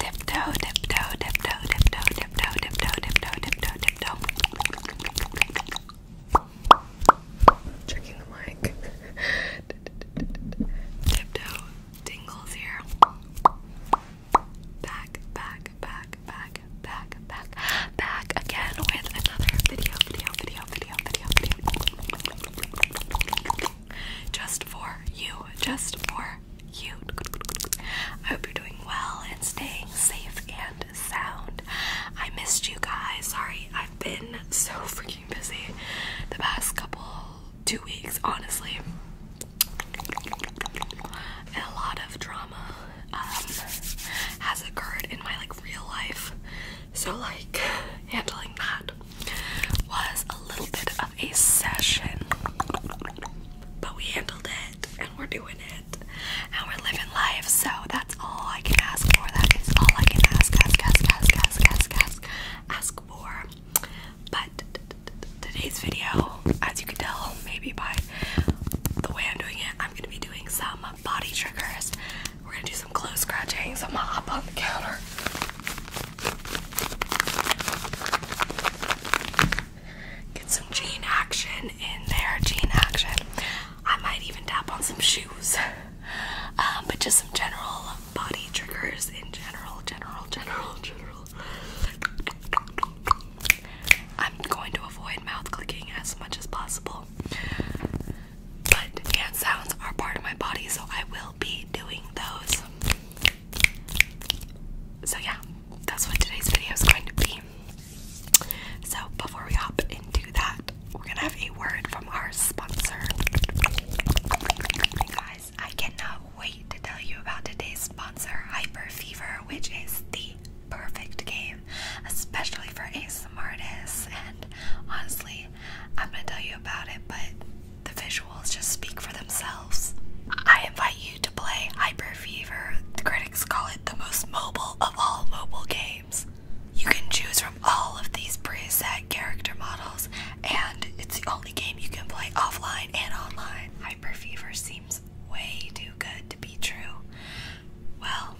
Tiptoe, tiptoe, tiptoe, tiptoe, tiptoe, tiptoe, tiptoe, tiptoe, tiptoe. Checking the mic. tiptoe tingles here. Back, back, back, back, back, back, back again with another video, video, video, video, video, video just for you, just for you. I hope you're doing well and staying safe and sound. I missed you guys. Sorry, I've been so freaking busy the past couple two weeks, honestly. a lot of drama um, has occurred in my like real life. So like handling that was a little bit of a session, but we handled it and we're doing it and we're living life. So that's all I can ask for. That is all I can ask, ask, ask, ask, ask, ask, ask, ask for. But today's video, as you can tell, maybe by the way I'm doing it, I'm gonna be doing some body triggers. We're gonna do some clothes scratching, so I'm gonna hop on the counter Get some jean action in there, gene action. I might even tap on some shoes, um, but just some general body triggers in general, general, general, general. I'm going to avoid mouth clicking as much as possible. But hand sounds are part of my body, so I will be doing those. So, yeah, that's what today's video is going to be. So, before we hop into that, we're gonna have a word from our sponsor. guys, I cannot wait to tell you about today's sponsor, Hyper Fever, which is the perfect game, especially for ASMRtists and honestly I'm gonna tell you about it, but the visuals just speak for themselves. I invite you to play Hyper Fever. The critics call it the most mobile of all mobile games. You can choose from all of these preset character models, and it's the only game you can play offline and online. Hyper Fever seems way too good to be true. Well,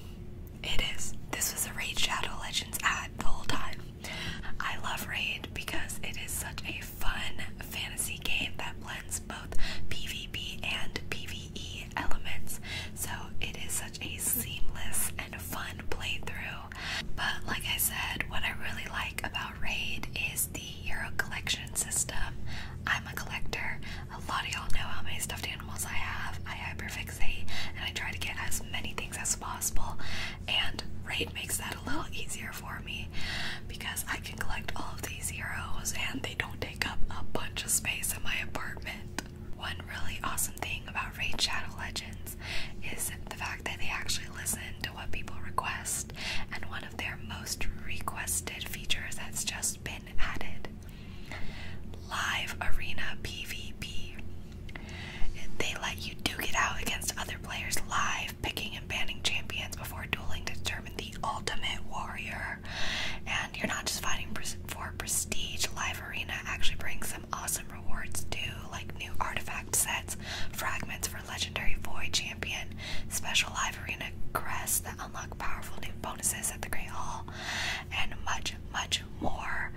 it is. This was a Rage Shadow Legends ad the whole time. I love Raid because it is such a fun fantasy game that blends both PvP and PvE elements, so it is such a seamless and fun playthrough. But like I said, what I really like about Raid is the hero collection system. I'm a collector. A lot of y'all know how many stuffed animals I have. I hyperfixate and I try to get as many things as possible, and Raid makes that a little easier for me because I can collect all of these zeros and they don't take up a bunch of space in my apartment. One really awesome thing about Raid Shadow Legends is the fact that they actually listen to what people request, and one of their most requested features has just been added live arena PvP. They let you duke it out against other players live, picking and banning champions before dueling to the ultimate warrior. And you're not just fighting for prestige. Live Arena actually brings some awesome rewards too, like new artifact sets, fragments for legendary void champion, special live arena crests that unlock powerful new bonuses at the Great Hall, and much, much more.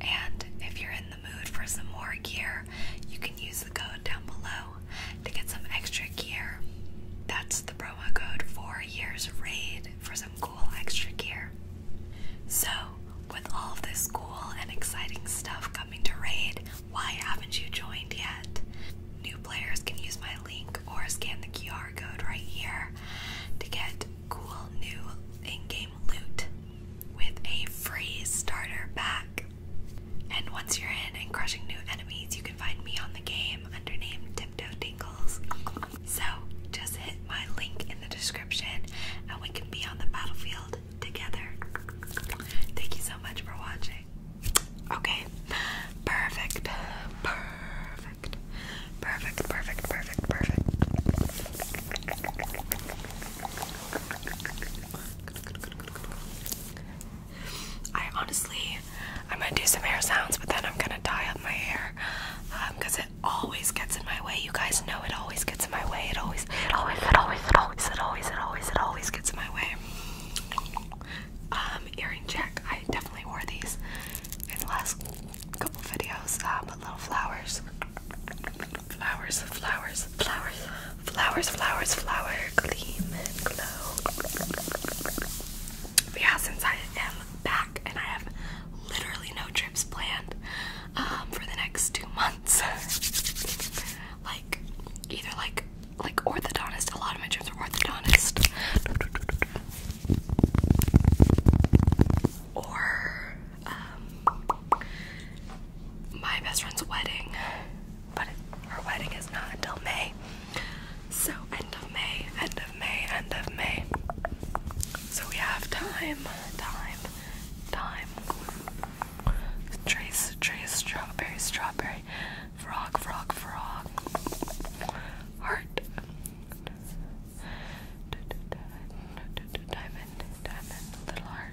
And if you're in the mood for some more gear, you can use the code down below to get some extra gear. That's the promo code for Years Raid for some cool extra gear. So, with all this cool and exciting stuff coming to Raid, why haven't you joined yet? New players can use my link or scan the QR code right here to get cool new in game loot with a free starter pack. And once you're in and crushing new enemies, you can find me on the game under name Tiptoe Tingles. So just hit my link in the description and we can be on the battlefield together. Thank you so much for watching. Okay, perfect, perfect, perfect, perfect, perfect, perfect. I honestly, I'm gonna do some hair sounds, but then I'm gonna dye up my hair because um, it always gets in my way. You guys know it always gets in my way. It always, it always, it always, it always, it always, it always, it always gets in my way. Um, earring check. I definitely wore these in the last couple videos. Um, but little flowers flowers, flowers, flowers, flowers, flowers, flower, gleam and glow. But yeah, since I am back and I have literally no trips planned um, for the next two months, like either like like orthodontist, a lot of my trips are orthodontist, or um, my best friend's wedding, but it, her wedding is not until May. So, end of May, end of May, end of May. So, we have time, time, time. Trace, trace, strawberry, strawberry. Frog, frog, frog. Heart. Diamond, diamond, little heart.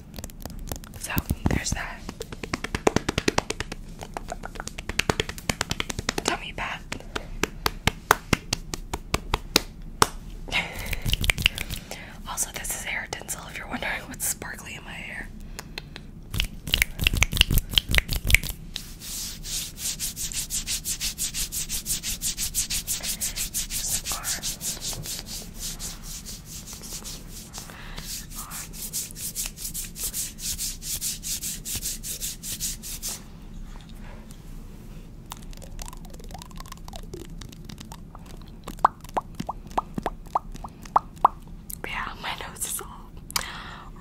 So there's that. Tell me, also, this is hair tinsel if you're wondering what's sparkly in my hair. Yeah, my nose is all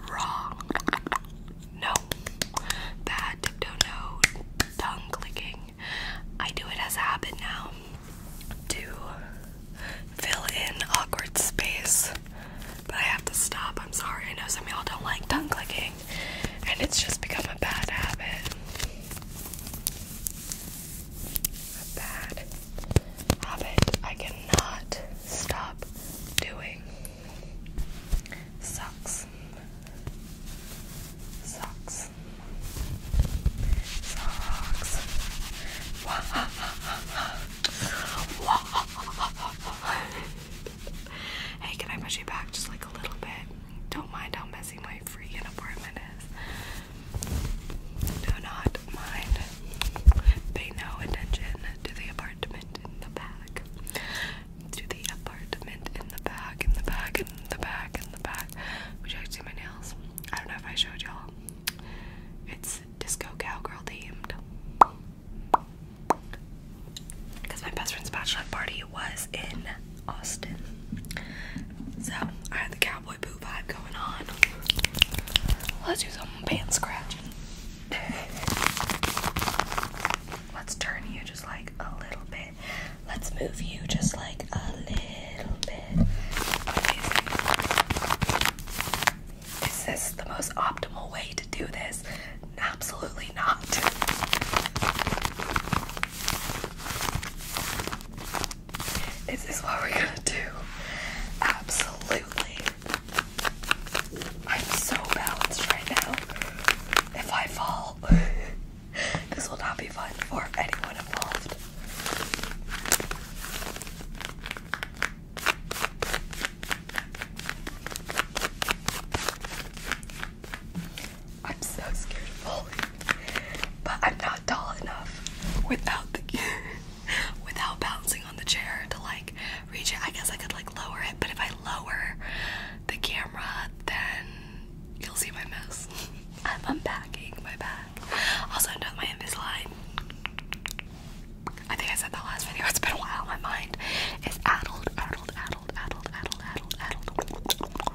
wrong. No, bad tiptoe, no tongue clicking. I do it as a habit now to fill in awkward space. But I have to stop. I'm sorry. I know some y'all don't like tongue clicking, and it's just become a bad habit. A bad habit I cannot stop doing. Sucks. Sucks. Sucks. Hey, can I push you back just like a little bit? Don't mind how messy my freaking apartment is. Do not mind. Pay no attention to the apartment in the back. To the apartment in the back, in the back, in the back, in the back. Would you see my nails? I don't know if I showed y'all. It's disco cowgirl themed. Because my best friend's bachelorette party was in Austin. So I had the cowboy boo vibe going on. Let's do some band scratching. Let's turn you just like a little bit. Let's move you just like a little bit it. Is this the most optimal way to do this? Absolutely not. Is this what we're gonna do? Absolutely. I'm so balanced right now. If I fall, this will not be fun for anyone involved. I'm so scared of falling, but I'm not tall enough without the without bouncing on the chair to like reach it. I guess I could like lower it, but if I lower the camera, then you'll see my mess. I'm unpacking my bag. Also, I'm done with my Invisalign. I think I said that last video. It's been a while. My mind is addled, addled, addled, addled, addled, addled, addled.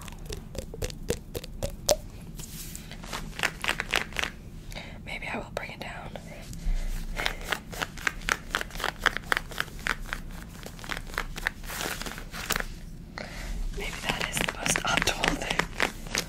Maybe I will bring it down. Maybe that is the most optimal thing.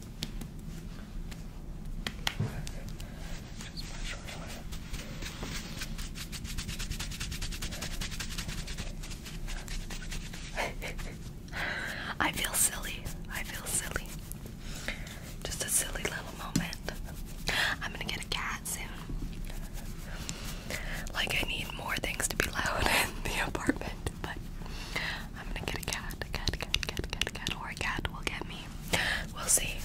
I feel silly. I feel silly. Just a silly little moment. I'm gonna get a cat soon. Like, I need more things to be loud in the apartment, but I'm gonna get a cat, a cat, cat, cat, cat, cat, or a cat will get me. We'll see.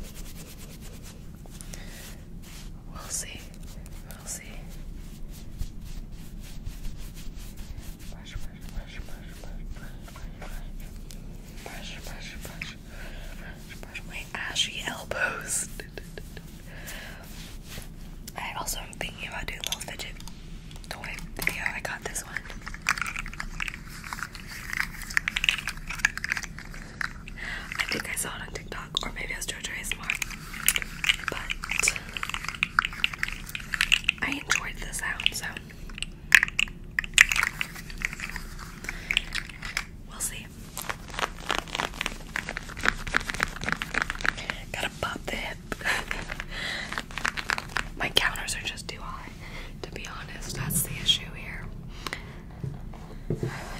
We'll see. We'll see. Brush, brush, brush, brush, brush, brush, brush, brush, brush, brush, brush, brush my ashy elbows. I also am thinking about doing little fidget the white video I got this one. I think I saw it on TikTok, or maybe it was JoJo ASMR. But I enjoyed the sound, so we'll see. Gotta pop the My counters are just too high, to be honest. That's the issue here.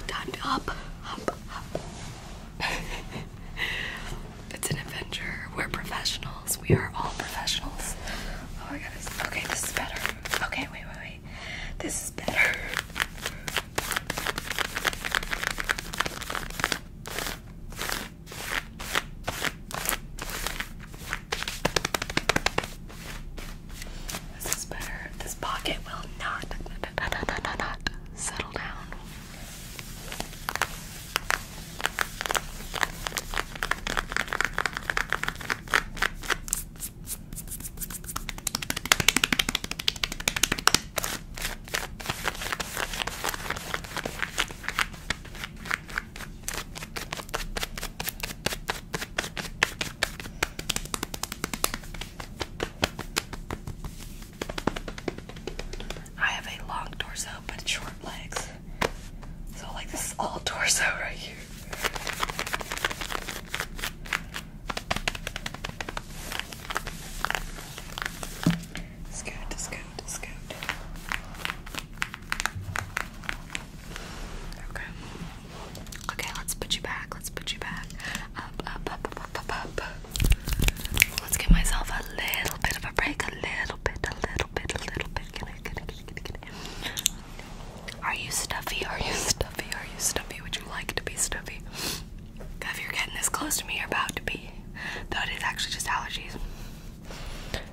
Time to up, up, up. it's an adventure. We're professionals. We are all professionals. Oh my goodness. Okay, this is better. Okay, wait, wait, wait. This is better. This is better. This pocket will not, not, not, not, not, not settle down. I have a long torso but short legs. So like this is all torso right here. Scoot, scoot, scoot. Okay. Okay, let's put you back. Let's put you back. Up, up, up, up, up, up. Let's give myself a little bit of a break. A little bit, a little bit, a little bit. Are you stuffy? Are you stuffy? Are you stuffy? Would you like to be stuffy? If you're getting this close to me, you're about to be. Though actually just allergies.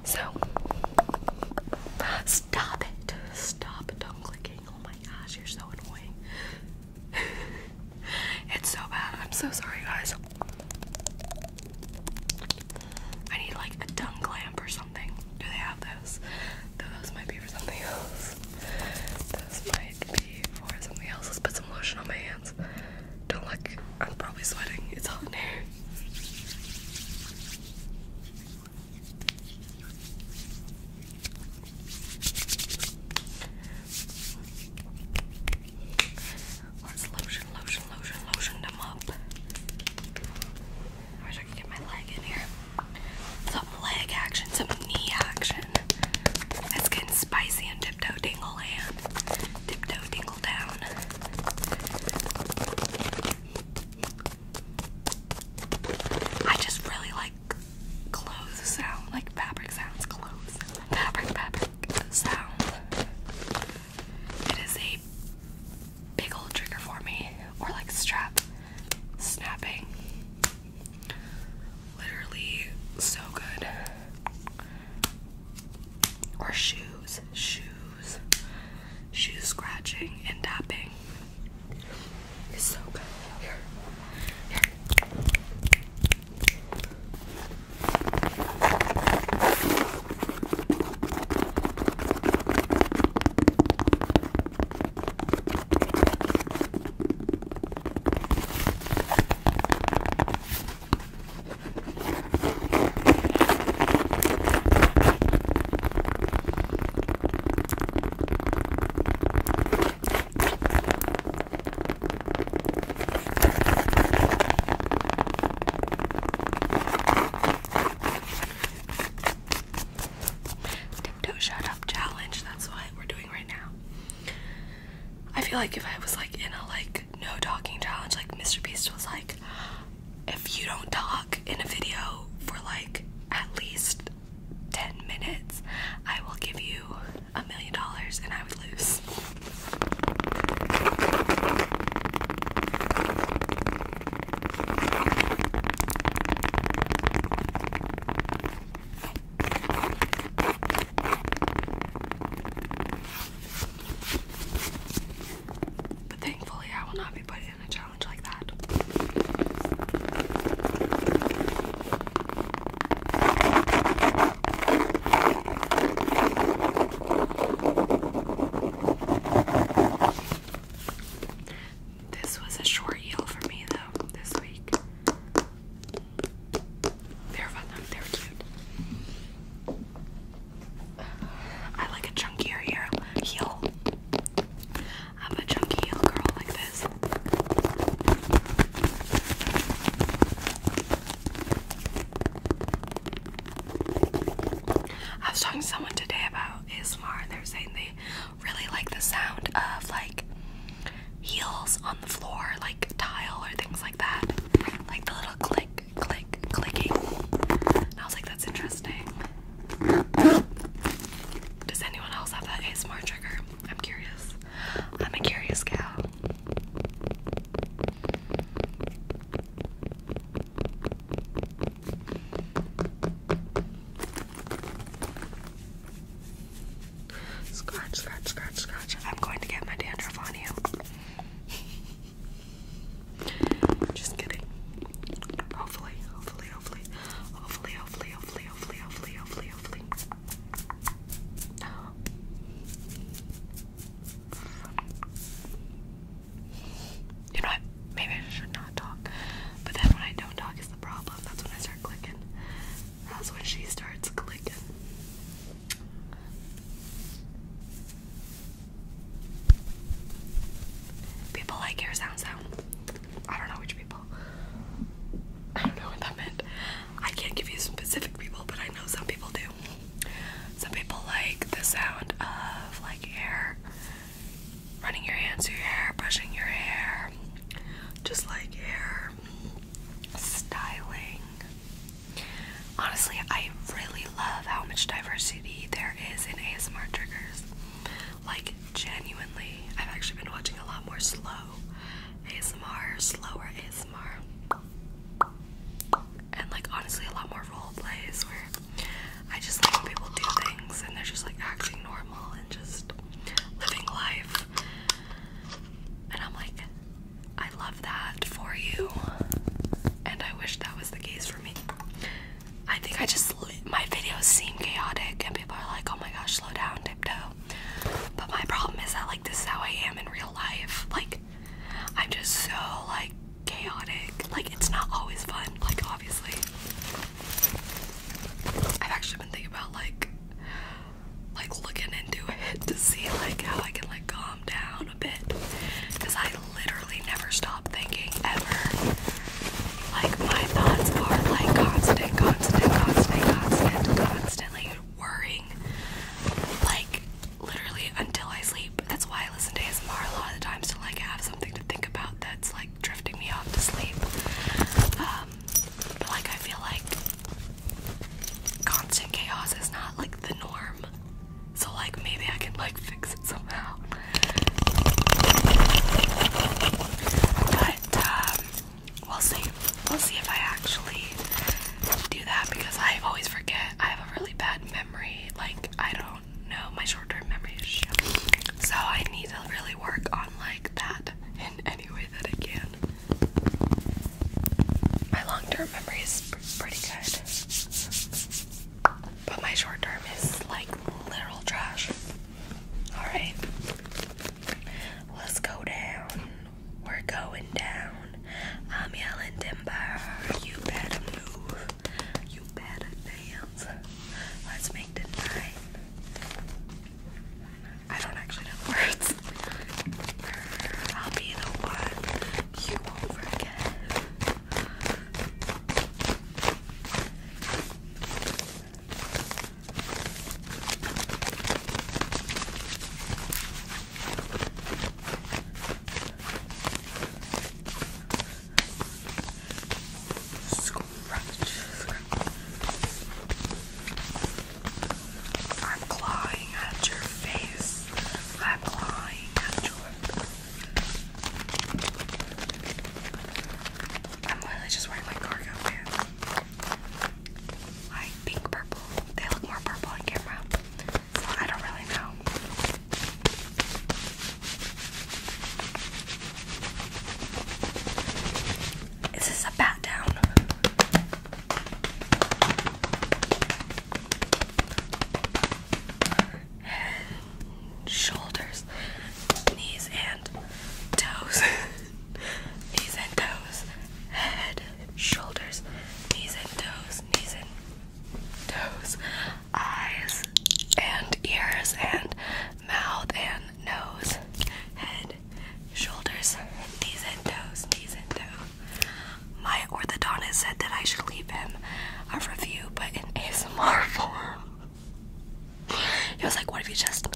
So stop it. Stop dumb clicking. Oh my gosh, you're so annoying. it's so bad. I'm so sorry guys. I need like a dung lamp or something. Do they have those? Those might be for something else. Those might be for something else. Let's put some lotion on my hands. Don't look. I'm probably sweating. It's hot here. Let's lotion, lotion, lotion, lotion them up. I wish I could get my leg in here. Some leg action, some knee action. It's getting spicy and tiptoe dingle hand. Tiptoe Tingle Down. I just really like clothes sound, like fabric sounds, clothes, fabric, fabric sound. It is a big old trigger for me, or like strap snapping. Literally so good or shoes, shoes, shoe scratching and tapping. It's so good. Tiptoe shut up challenge. That's what we're doing right now. I feel like if I was like in a like no talking challenge. Like Mr. Beast was like, if you don't talk in a video for like at least 10 minutes, I will give you a million dollars and I would lose. But thankfully, I will not be put in a challenge like that. This was a short yield for me though this week. They're fun They're cute. I like a chunkier heel. I'm a chunky heel girl like this. I was talking to someone today about Ismar. and they are saying they really like the sound of like heels on the floor, like tile or things like that. Like the little click click, clicking. I was like, that's interesting. Does anyone else have that ASMR trigger? I'm curious. I'm a curious gal. Scratch, scratch, scratch, scratch. I'm going to get my dandruff on you. Just kidding. Hopefully, hopefully, hopefully, hopefully, hopefully, hopefully, hopefully, hopefully, hopefully, You know what? Maybe I should not talk. But then when I don't talk is the problem. That's when I start clicking. That's when she starts clicking. People like air sounds though. I don't know which people. I don't know what that meant. I can't give you specific people, but I know some people do. Some people like the sound of like air. running your hands through your hair, brushing your hair, just like air styling. Honestly, I really love how much diversity there is in ASMR triggers. Like, genuinely, I've actually been watching a lot more slow ASMR, slower ASMR, and like, honestly, a lot more role plays where I just like when people do things and they're just like acting normal and just living life. And I'm like, I love that for you. And I wish that was the case for me. I think I just, my videos seem chaotic and people are like, oh my gosh, slow down, tiptoe. But my problem is that, like, this is how I am in real life. Like, I'm just so, like, chaotic. Like, it's not always fun, like, obviously. I've actually been thinking about, like, like looking into it to see like how I can like calm down bit because I literally never stop thinking ever. Like my thoughts are like constant, constant, constant, constant, constantly worrying. Like literally until I sleep. That's why I listen to his ASMR a lot of the times to like have something to think about that's like drifting me off to sleep. Um, but like I feel like constant chaos is not like the norm. So like maybe I can like fix it somehow. But um we'll see. We'll see if I actually do that because I always forget. I have a really bad memory. Like I don't know my short-term memory is shit. So I need to really work on like that in any way that I can. My long term memory is pretty good, but my short term is like literal trash. Alright, let's go down. We're going down. i timber. You better move. You better dance. Let's make the I don't actually know words. I'll be the one you won't forget. Scratch, I'm clawing at your face. I'm clawing at your. I'm literally just wearing my cargo pants. Like pink purple. They look more purple on camera. I don't really know. Is this a bat down? Shoulders, knees and toes, knees and toes, head, shoulders, knees and toes, knees and toes, eyes and ears and mouth and nose, head, shoulders, knees and toes, knees and toes, my orthodontist said that I should leave him a review, but in ASMR form. He was like, What if you just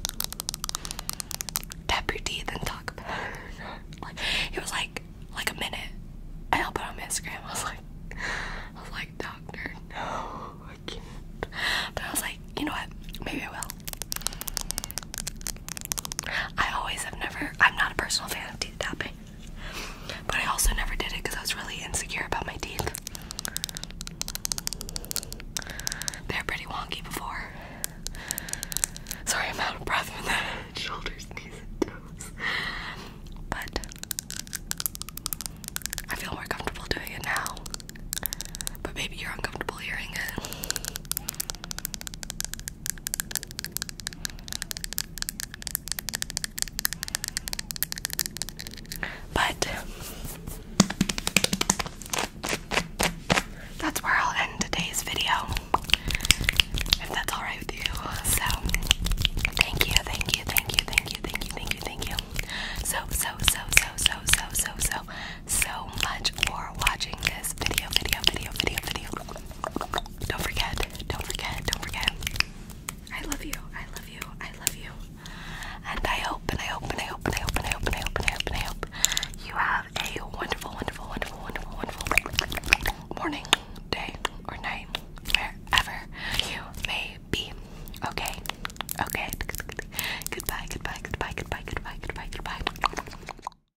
tap your teeth and talk about it? Like, it was like, like a minute. I'll put on Instagram. I was like, I was like, Doctor, no, I can't. But I was like, You know what? Maybe I will. I always have never, I'm not a personal fan of teeth tapping, but I also never did it because I was really insecure about my teeth. They're pretty wonky before. Sorry, I'm out of breath with the shoulders, knees, and toes. But I feel more comfortable doing it now. But maybe you're uncomfortable hearing it. But that's where I'll end today's video. If that's alright with you. So thank you, thank you, thank you, thank you, thank you, thank you, thank you. So so so so so so so so so much for watching this video video video video video don't forget, don't forget, don't forget. I love you, I love you, I love you. And I hope, and I hope, and I hope, and I hope, and I hope, and I hope, and I hope, and I hope you have a wonderful, wonderful, wonderful, wonderful, wonderful morning, day, or night, wherever you may be. Okay, okay. Goodbye, goodbye, goodbye, goodbye, goodbye, goodbye, goodbye.